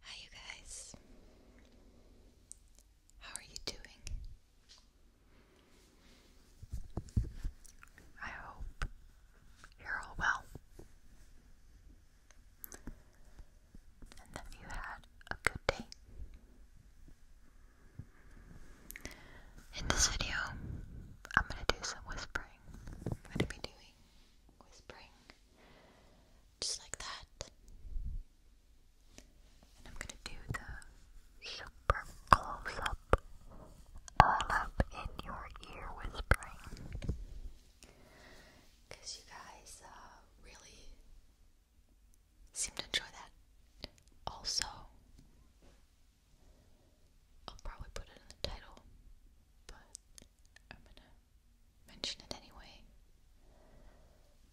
Hi, you guys. How are you doing? I hope you're all well and that you had a good day. In this video, I'm going to do some whispering. I'm going to be doing whispering just like that. And I'm gonna do the super close up, all up in your ear whispering. you guys uh, really seem to enjoy that. Also, I'll probably put it in the title, but I'm gonna mention it anyway.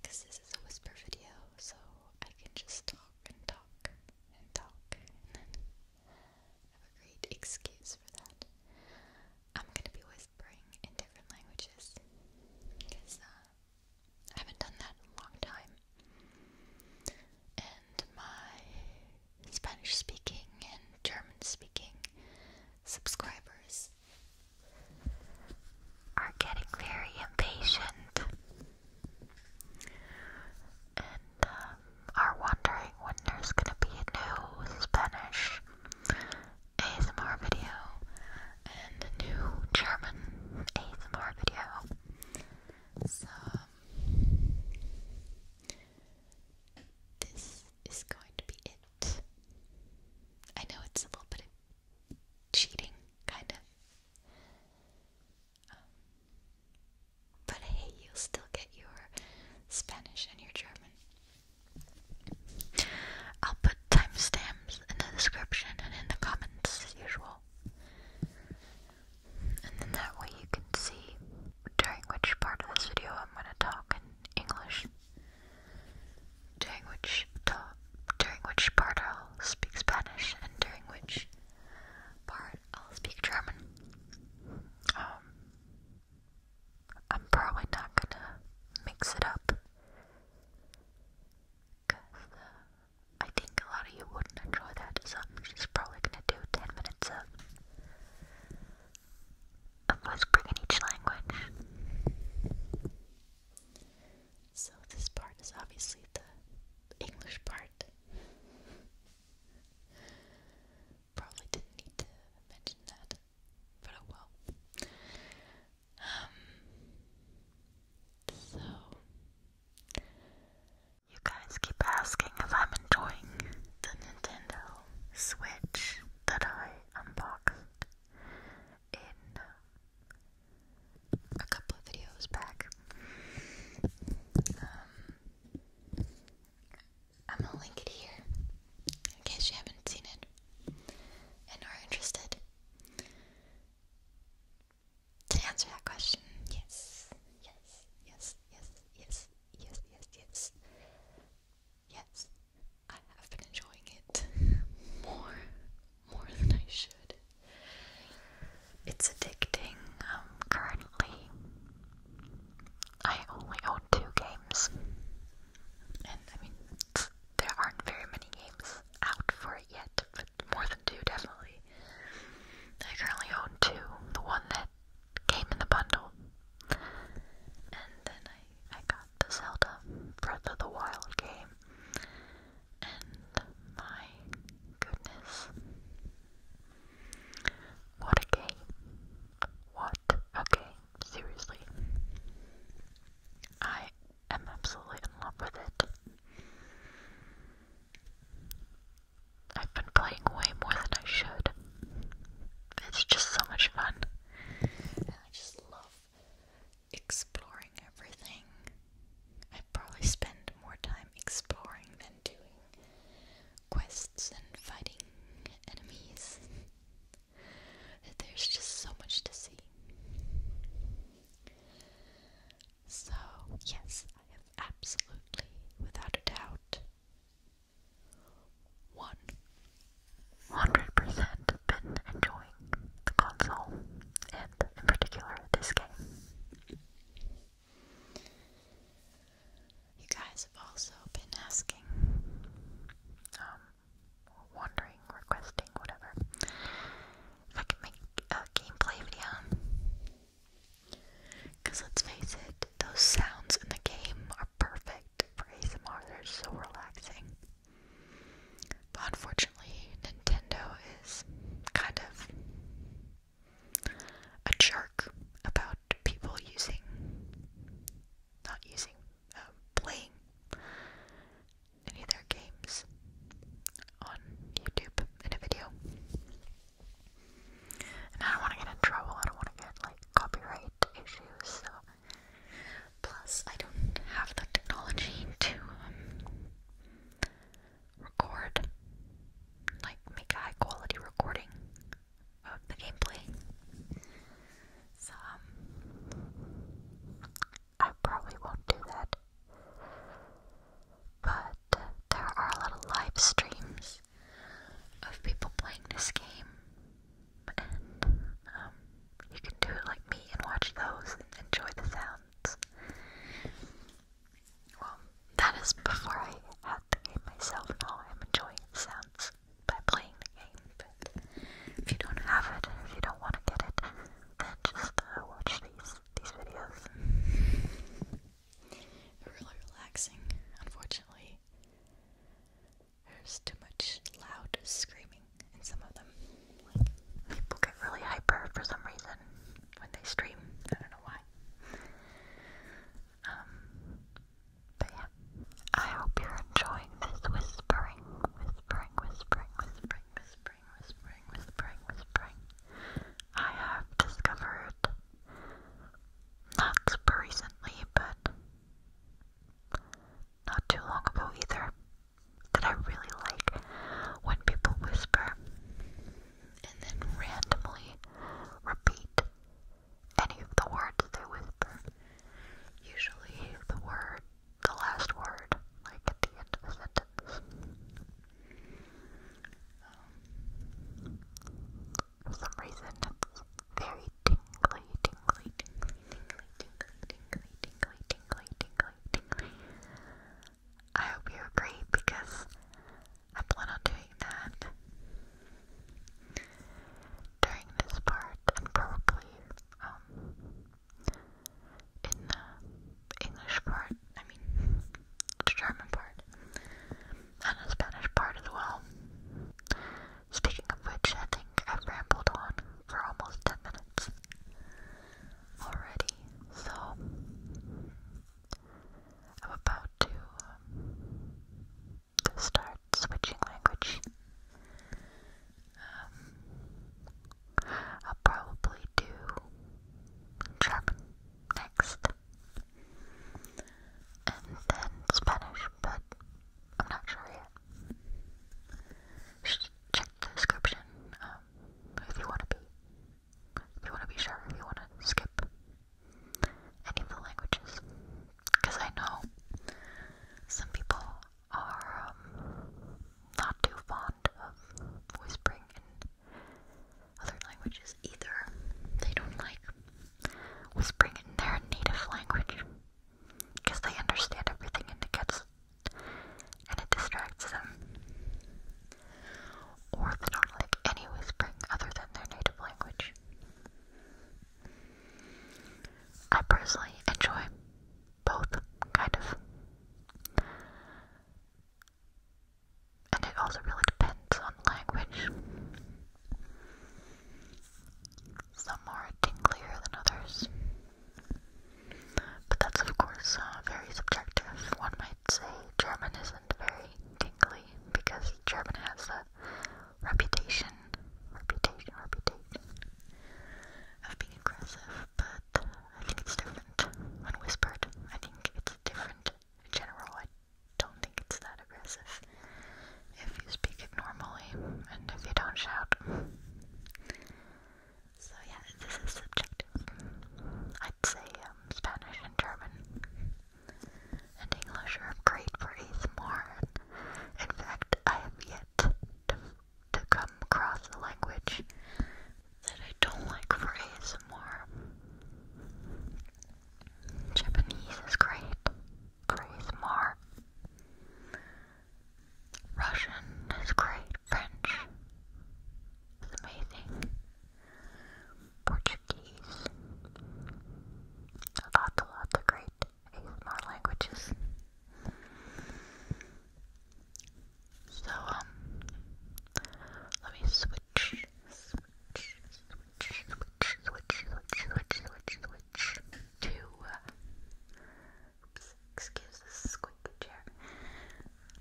Because this is a whisper video, so I can just talk and talk and talk and have a great excuse for that. I'm gonna be whispering in different languages because uh, I haven't done that in a long time. And my Spanish speaking and German speaking subscribers are getting very impatient and um, are wondering when there's gonna be a new Spanish ASMR video and a new German ASMR video. So, um, this is going to be it I know it's a little bit cheating, kind of. Um, but hey, you'll still get your Spanish and your German. I'll put timestamps in the description and in the comments as usual. And then that way you can see during which part of this video I'm going to talk in English during which part I'll speak Spanish and during which part I'll speak German. Um, I'm probably not gonna mix it up because uh, I think a lot of you wouldn't enjoy that, so I'm just probably gonna do 10 minutes of of Westbrook in each language. So this part is obviously the English part. Probably didn't need to mention that, but oh well. Um, so, you guys keep asking if I'm enjoying the Nintendo Switch that I unboxed in a couple of videos back. Um, I'm gonna link it here in case you haven't seen it and are interested. To answer that question, yes, yes, yes, yes, yes, yes, yes, yes yes, I have been enjoying it more, more than I should. It's addicting. Um, currently, I only own two games, and I mean, there aren't very many games out for it yet, but more than two definitely. I currently own two. The one that came in the bundle. And then I, I got the Zelda Breath of the Wild game. And my goodness. What a game. What a Seriously. I am absolutely in love with it. I've been playing way more than I should. It's just so much fun. And I just love exploring everything. I probably spend more time exploring than doing quests and fighting enemies. There's just so much to see. So, yes, I have absolutely, without a doubt, one hundred percent been enjoying the console and in particular this game. You guys have also been asking, um, wondering, requesting, whatever, if I could make a gameplay video. Because let's face it, those sounds in the game are perfect for ASMR, they're so relaxing. But unfortunately, Nintendo is kind of a jerk about people using, not using, um, playing any of their games on YouTube in a video. And I don't want to get in trouble. I don't want to get like copyright issues. plus I don't have the technology to um, record, like make a high quality recording of the gameplay. So um, I probably won't do that. But uh, there are a lot of live streams of people playing this game, um, you can do it like me and watch those and enjoy the sounds. Well, that is before I had the game myself. Now I'm enjoying the sounds by playing the game. if you don't have it, if you don't want to get it, then just uh, watch these these videos really relaxing. Unfortunately, there's too much loud screaming in some of them. people get really hyper for some reason when they stream. I don't know why. Um, but yeah. I hope you're enjoying this whispering, whispering, whispering, whispering, whispering, whispering, whispering, whispering. I have discovered not super recently, but not too long ago either. That I really like when people whisper and then randomly repeat any of the words they whisper. Usually the word, the last word, like at the end of a sentence. Um, for some reason, it's very tingly, tingly, tingly, tingly, tingly, tingly, tingly, tingly, tingly, I hope you agree because I plan on doing that during this part and probably um in the English part. I mean, a German part, and a Spanish part as well. Speaking of which, I think I've rambled on for almost 10 minutes already, so I'm about to, um, start switching language. Um, I'll probably do German next and then Spanish, but I'm not sure yet. check the description um, if you want to be, if you want to be sure, if you want to skip any of the languages, because I know some people are um, not too fond of whispering in other languages either. They don't like whispering in their native language because they understand everything and it gets and it distracts them. Or they don't like any whispering other than their native language. I personally enjoy both, kind of. And it also really depends on language. Some are tinglier than others. But that's, of course, uh, very subjective. One might say German isn't very tingly because German has a reputation, reputation, reputation of being aggressive, but uh, I think it's different when whispered. I think it's different in general don't think it's that aggressive if you speak it normally and if you don't shout. So, yeah, this is subjective. I'd say um, Spanish and German and English are great for ASMR. In fact, I have yet to, to come across a language that I don't like for ASMR. Japanese is great. Grace Mar. Russian is great. French is amazing. Portuguese. Lots and lots of great ASMR languages. So, um, let me switch switch, switch, switch, switch, switch, switch, switch, to, oops, excuse this squeaky chair,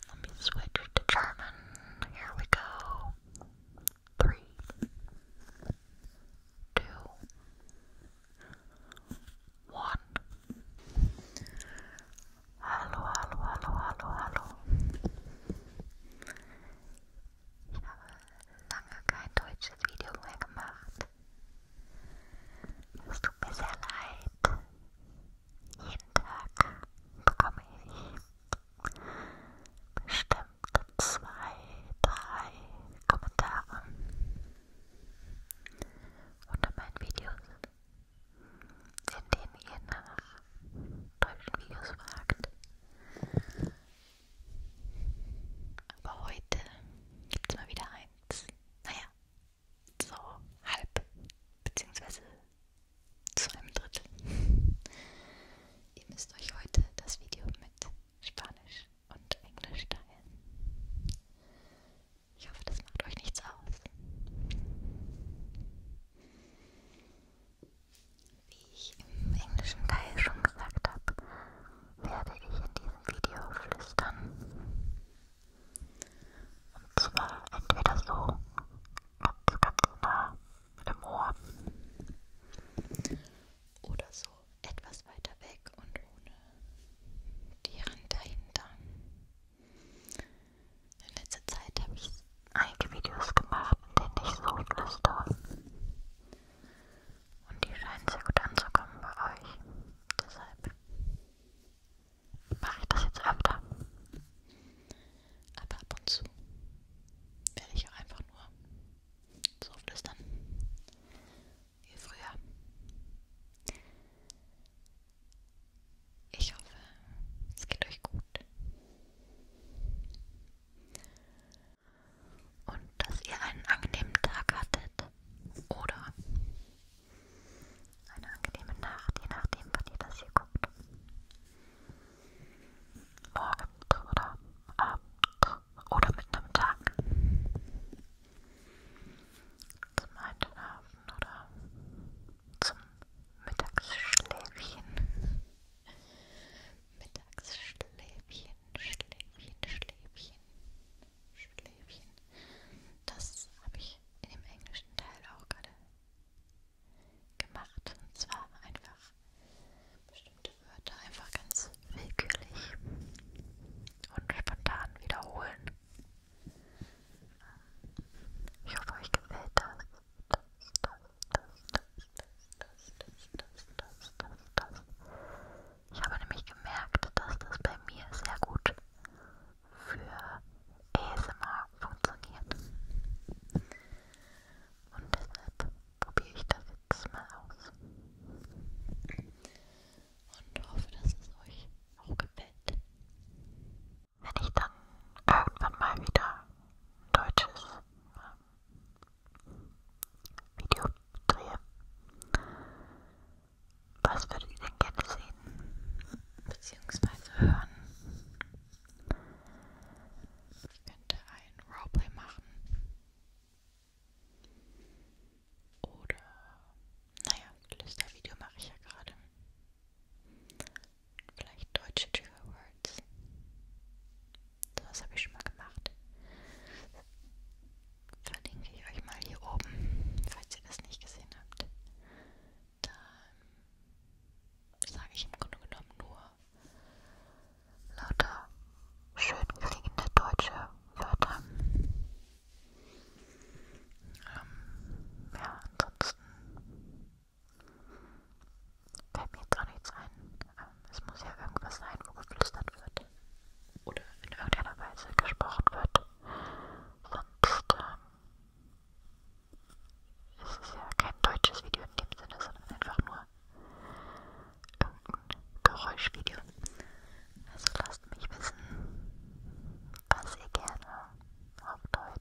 let me switch to German, here we go, three, two, one. Hallo, hallo, hallo, hallo, hallo. Ich habe lange kein deutsches Video mehr gemacht. Es tut mir sehr leid. Jeden Tag bekomme ich bestimmt zwei, drei Kommentare unter meinen Videos indem ihr nach deutschen Videos fragt. Aber heute gibt's mal wieder eins. Naja, so halb, beziehungsweise zu einem Drittel. ihr müsst euch heute das Video mit Spanisch und Englisch teilen. Ich hoffe, das macht euch nichts aus. Wie ich im englischen Teil schon gesagt habe, werde ich in diesem Video flüstern. Und zwar entweder so ganz, ganz nah mit dem Ohr oder so etwas weiter weg und ohne die Hand dahinter. In letzter Zeit habe ich einige Videos gemacht, in denen ich so flüstere. Und die scheinen sehr gut anzukommen bei euch. Deshalb mache ich das jetzt öfter. Aber ab und zu werde ich auch einfach nur so flüstern. Wie früher. Ich hoffe, es geht euch gut. Und dass ihr einen angenehmen Tag hattet oder eine angenehme Nacht, je nachdem, wann ihr das hier guckt. Morgen oder Abend oder mit einem Tag. Zum Einschlafen oder zum Mittagsschläfchen. Mittagsschläfchen, Schläfchen, Schläfchen, Schläfchen. Das habe ich in dem englischen Teil auch gerade gemacht. Und zwar einfach bestimmte Wörter einfach ganz willkürlich und spontan wiederholen. Ich hoffe, euch gefällt das. Ich habe nämlich gemerkt, dass das bei mir sehr gut für ASMR funktioniert. Und deshalb probiere ich das jetzt mal aus. Und hoffe, dass es euch auch gefällt wenn ich dann irgendwann mal wieder ein deutsches ähm, Video drehe. Was würdet ihr denn gerne sehen? Beziehungsweise hören? Ich könnte ein Roleplay machen. Oder, naja, Lüster-Video mache ich ja gerade. Vielleicht deutsche Trigger Words. Sowas habe ich schon mal gemacht. Verlinke ich euch mal hier oben, falls ihr das nicht gesehen habt. Dann sage ich im Grunde genommen nur lauter schön klingende deutsche Wörter. Ähm, ja, ansonsten fällt mir jetzt auch nichts ein. Ähm, es muss ja irgendwas sein, wo geflüstert wird. Oder in irgendeiner Weise gesprochen wird. Sonst ähm, ist es ja kein deutsches Video in dem Sinne, sondern einfach nur irgendein Geräuschvideo. Also lasst mich wissen, was ihr gerne auf Deutsch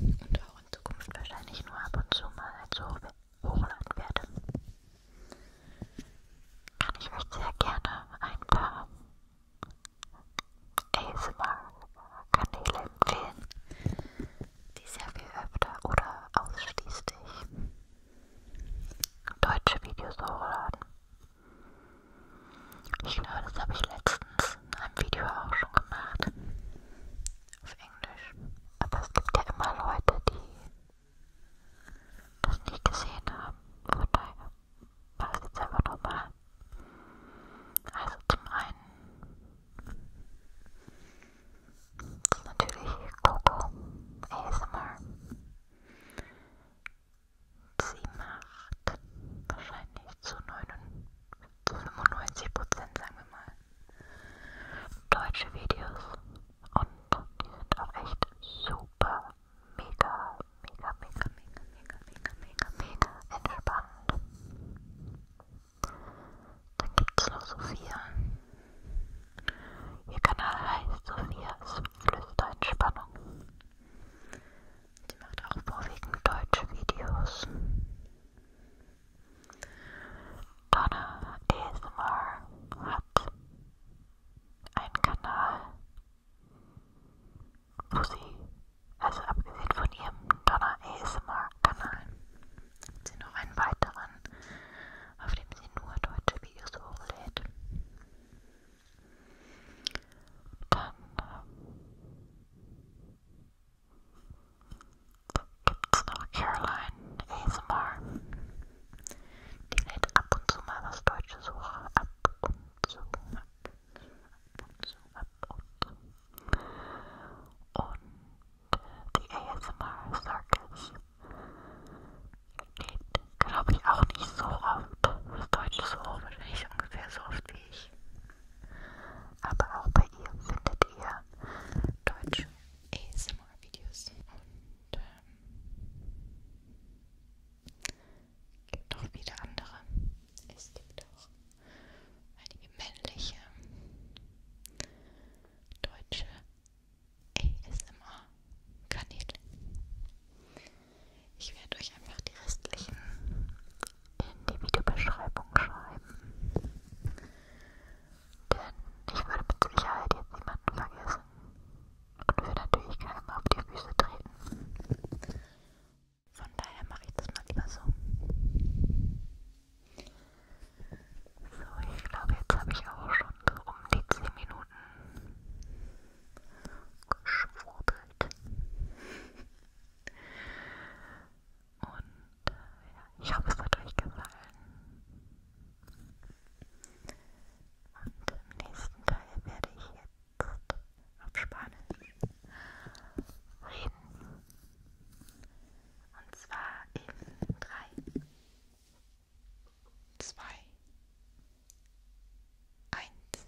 und auch in Zukunft wahrscheinlich nur ab und zu mal als halt Hoch hochladen werde. Und ich möchte sehr gerne ein paar ASMR-Kanäle empfehlen, die sehr viel öfter oder ausschließlich deutsche Videos hochladen. Ich glaube, das habe ich letztens in einem Video auch schon gemacht. Auf Englisch. Aber es gibt ja immer Leute, die das nicht gesehen haben. Von daher war es jetzt einfach nochmal. Also zum einen ist natürlich Coco ASMR. Sie macht wahrscheinlich zu 99% 95% sagen wir mal, deutsche Videos und die sind auch echt super, mega, mega, mega, mega, mega, mega, mega, mega entspannt. Dann gibt es noch Sophia. Ihr Kanal heißt Sophias Flüsterentspannung. Sie macht auch vorwiegend deutsche Videos. Donna ASMR hat einen Kanal, wo sie, also abgesehen von ihrem Donna ASMR-Kanal, hat sie noch einen weiteren, auf dem sie nur deutsche Videos hochlädt. Dann ähm, gibt's noch Caroline ASMR. Die lädt ab und zu mal was Deutsches hoch. Ab und zu, ab und zu, ab und zu. Und die ASMR Circus lädt, glaube ich, auch nicht so oft was Deutsches hoch. Wahrscheinlich ungefähr so oft wie ich. Aber auch bei ihr findet ihr deutsche ASMR-Videos und ähm, gibt auch wieder andere. Es gibt auch einige männliche deutsche ASMR-Kanäle. Ich werde euch einfach die restlichen in die Videobeschreibung schreiben. Denn ich würde mit Sicherheit jetzt niemanden vergessen und will natürlich keinem auf die Füße treten. Von daher mache ich das mal lieber so. So, ich glaube, jetzt habe ich auch schon so um die 10 Minuten geschwurbelt. Und äh, ja, ich hoffe, es hat euch gefallen. Und im nächsten Teil werde ich jetzt auf Spanisch reden. Und zwar in 3, 2, 1.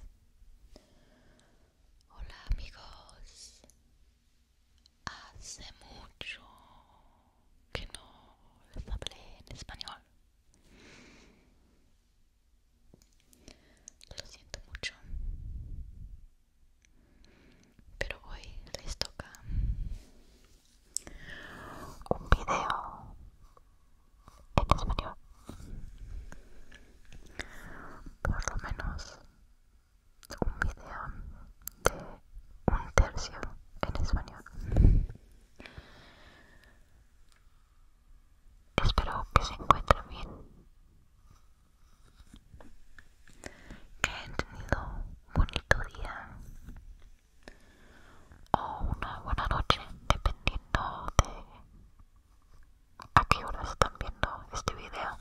Hola amigos, hace mucho que no les hablé en español. Lo siento mucho, pero hoy les toca un video en español Por lo menos un video de un tercio en español. Espero que se encuentre bien. Que hayan tenido un bonito día o una buena noche, dependiendo de a qué horas están viendo este video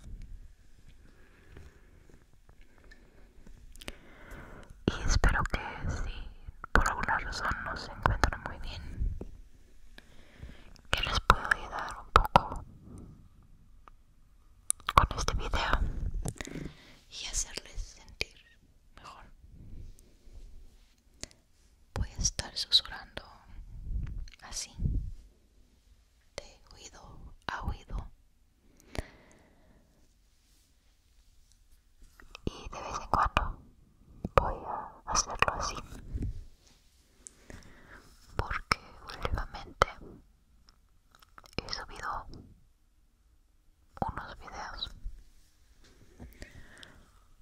y espero que si por alguna razón no se encuentran muy bien que les pueda ayudar un poco con este video y hacerles sentir mejor voy a estar susurrando así de oído a oído y de vez en cuando voy a hacerlo así porque últimamente he subido unos videos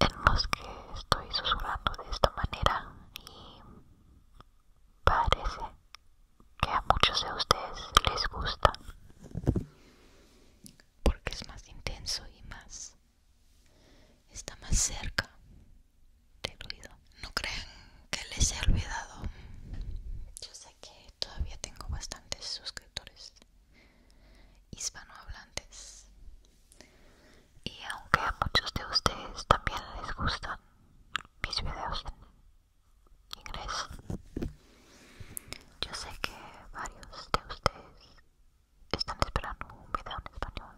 en que estoy susurrando de esta manera y parece que a muchos de ustedes les gusta porque es más intenso y más está más cerca del oído no crean que les he olvidado yo sé que todavía tengo bastantes suscriptores hispanohablantes y aunque a muchos de ustedes también les gustan mis videos en inglés, yo sé que varios de ustedes están esperando un video en español.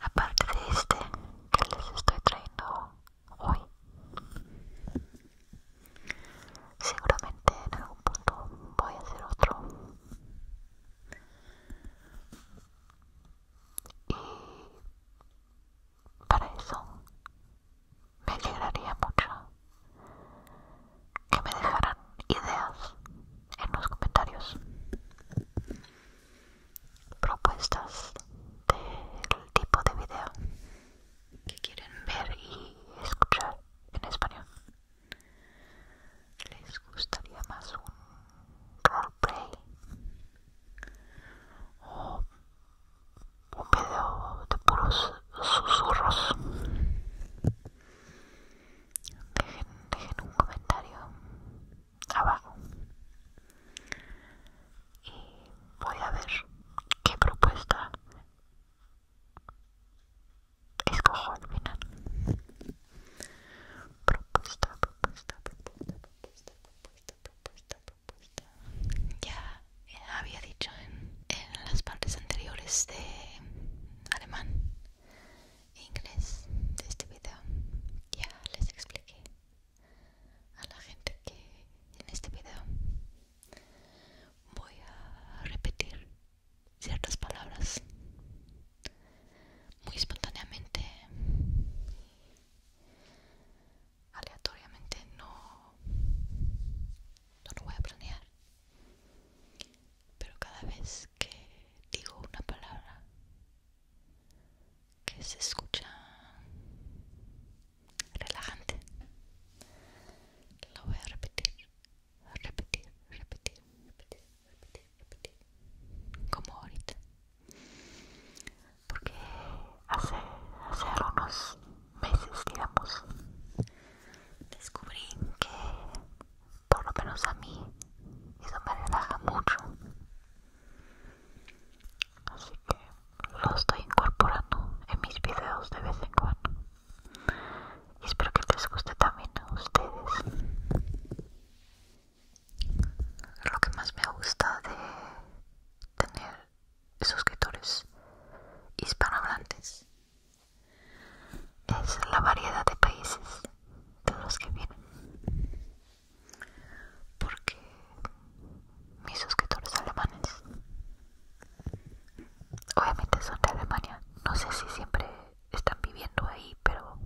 Aparte de este que les estoy trayendo hoy, seguramente en algún punto voy a hacer otro y para eso me alegraría mucho que me dejaran ideas en los comentarios, propuestas del tipo de video que quieren ver y escuchar en español les gustaría más un roleplay o un video de puros susurros dejen, dejen un comentario abajo y voy a ver qué propuesta escojo al final. Propuesta, propuesta, propuesta, propuesta, propuesta, propuesta, propuesta. Ya eh, había dicho en, en las partes anteriores de alemán e inglés de este video. Ya les expliqué a la gente que en este video voy a repetir ciertas palabras muy espontáneamente aleatoriamente no no lo voy a planear pero cada vez que digo una palabra que se escucha relajante lo voy a repetir repetir, repetir, repetir, repetir, repetir, como ahorita, porque hace, hace meses, digamos, descubrí que, por lo menos a mí, eso me relaja mucho, así que lo estoy incorporando en mis videos de vez en cuando y espero que les guste también a ustedes lo que más me gusta de tener suscriptores hispanohablantes es la variedad de países de los que vienen porque mis suscriptores alemanes Obviamente son de Alemania. No sé si siempre están viviendo ahí, pero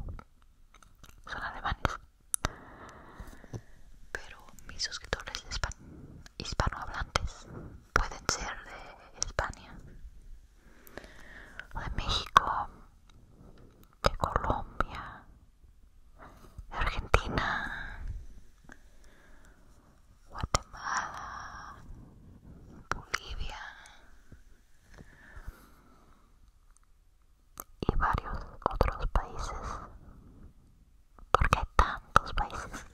son alemanes. Pero mis suscriptores hispanohablantes pueden ser de España, de México, de Colombia, de Argentina, Guatemala, Bolivia y varios otros países, porque hay tantos países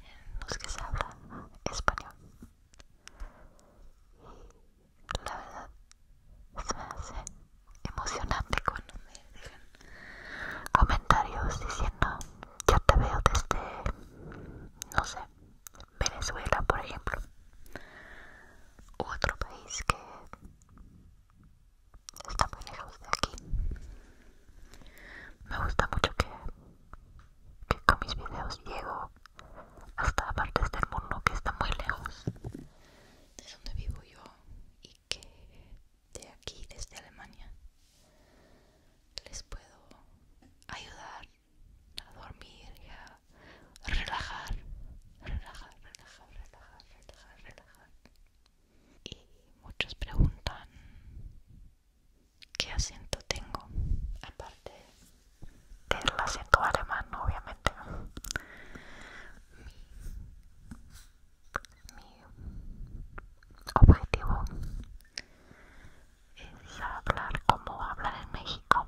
en los que se habla español. Y la verdad se me hace emocionante cuando me dejan comentarios diciendo ya te veo desde, no sé, Venezuela, por ejemplo, u otro país que está muy lejos de aquí. Me gusta mucho que, que con mis videos llego hasta partes del mundo que están muy lejos de donde vivo yo y que de aquí, desde Alemania, les puedo ayudar a dormir y a relajar, relajar, relajar, relajar, relajar, relajar. Y muchos preguntan qué acento tengo, aparte del acento alemán, obviamente mi objetivo es hablar como hablar en México,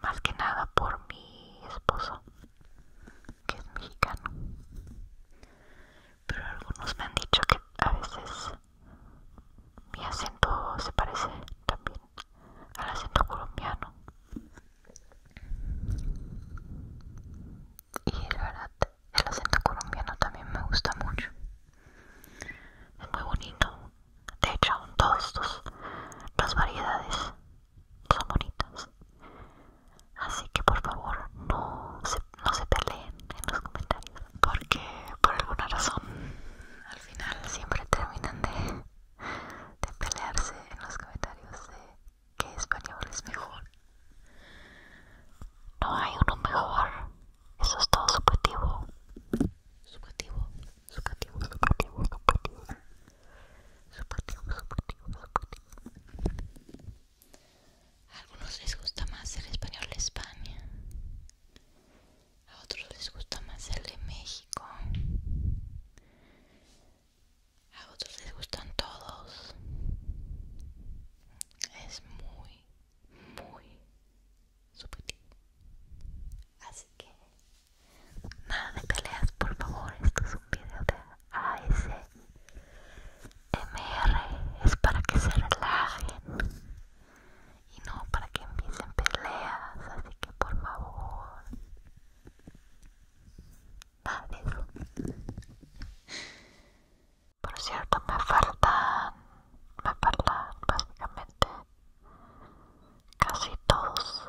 más que nada por mi esposo, que es mexicano. Pero algunos me han dicho que a veces mi acento se parece también al acento colombiano y la verdad el acento colombiano también me gusta mucho es muy bonito de hecho todas las variedades son bonitas así que por favor no se, no se peleen en los comentarios porque por alguna razón al final siempre terminan de, de pelearse en los comentarios de qué español es mejor no hay uno mejor. Eso es todo subjetivo. Subjetivo, subjetivo, subjetivo, subjetivo. Subjetivo, subjetivo, subjetivo. A algunos les gusta más el español de España. A otros les gusta más el de México. A otros les gustan todos es muy, muy subjetivo. Así que nada de peleas, por favor. Esto es un video de ASMR. Es para que se relajen y no para que empiecen peleas. Así que por favor, nada por cierto, me faltan, me faltan básicamente casi todos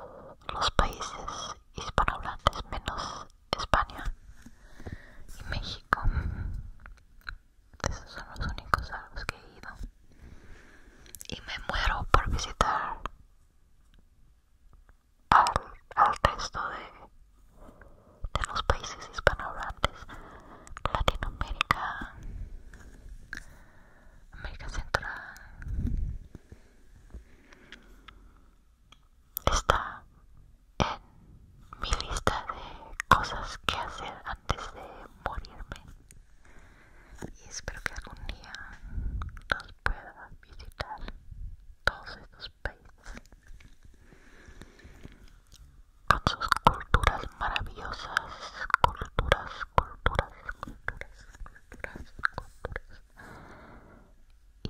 los países hispanohablantes menos España y México. Esos son los únicos a los que he ido. Y me muero por visitar al, texto de, de los países hispanohablantes Latinoamérica América Central está en mi lista de cosas que hacer antes de morirme y espero que algún día los pueda visitar todos estos países con sus culturas maravillosas, culturas, culturas, culturas, culturas, culturas y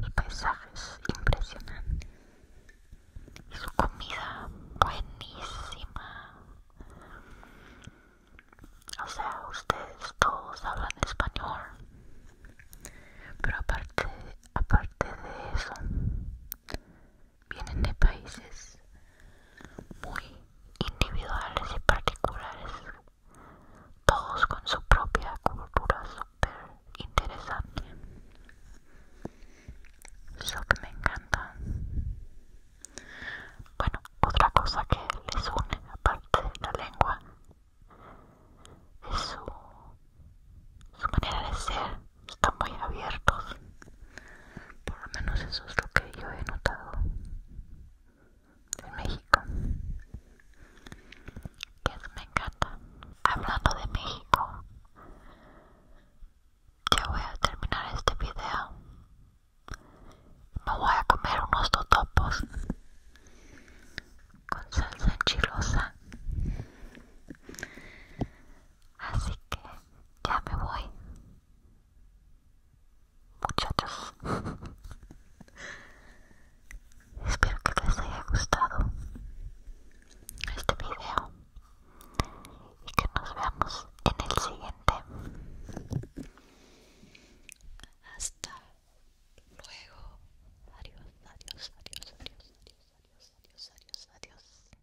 sus paisajes impresionantes y su comida buenísima. O sea, ustedes todos hablan español pero aparte de eso vienen de países muy individuales y particulares todos con su propia cultura súper interesante eso que me encanta bueno otra cosa que les une aparte de la lengua su, manera de ser están muy abiertos. Por lo menos eso es lo que yo he notado en México. Que me encanta. Hablando de México, ya voy a terminar este video. Me voy a comer unos totopos con salsa enchilosa. Así que ya me voy. Muchachos. Espero que les haya gustado este video y que nos veamos en el siguiente. Hasta Luego, adiós, adiós, adiós, adiós, adiós, adiós, adiós, adiós, adiós.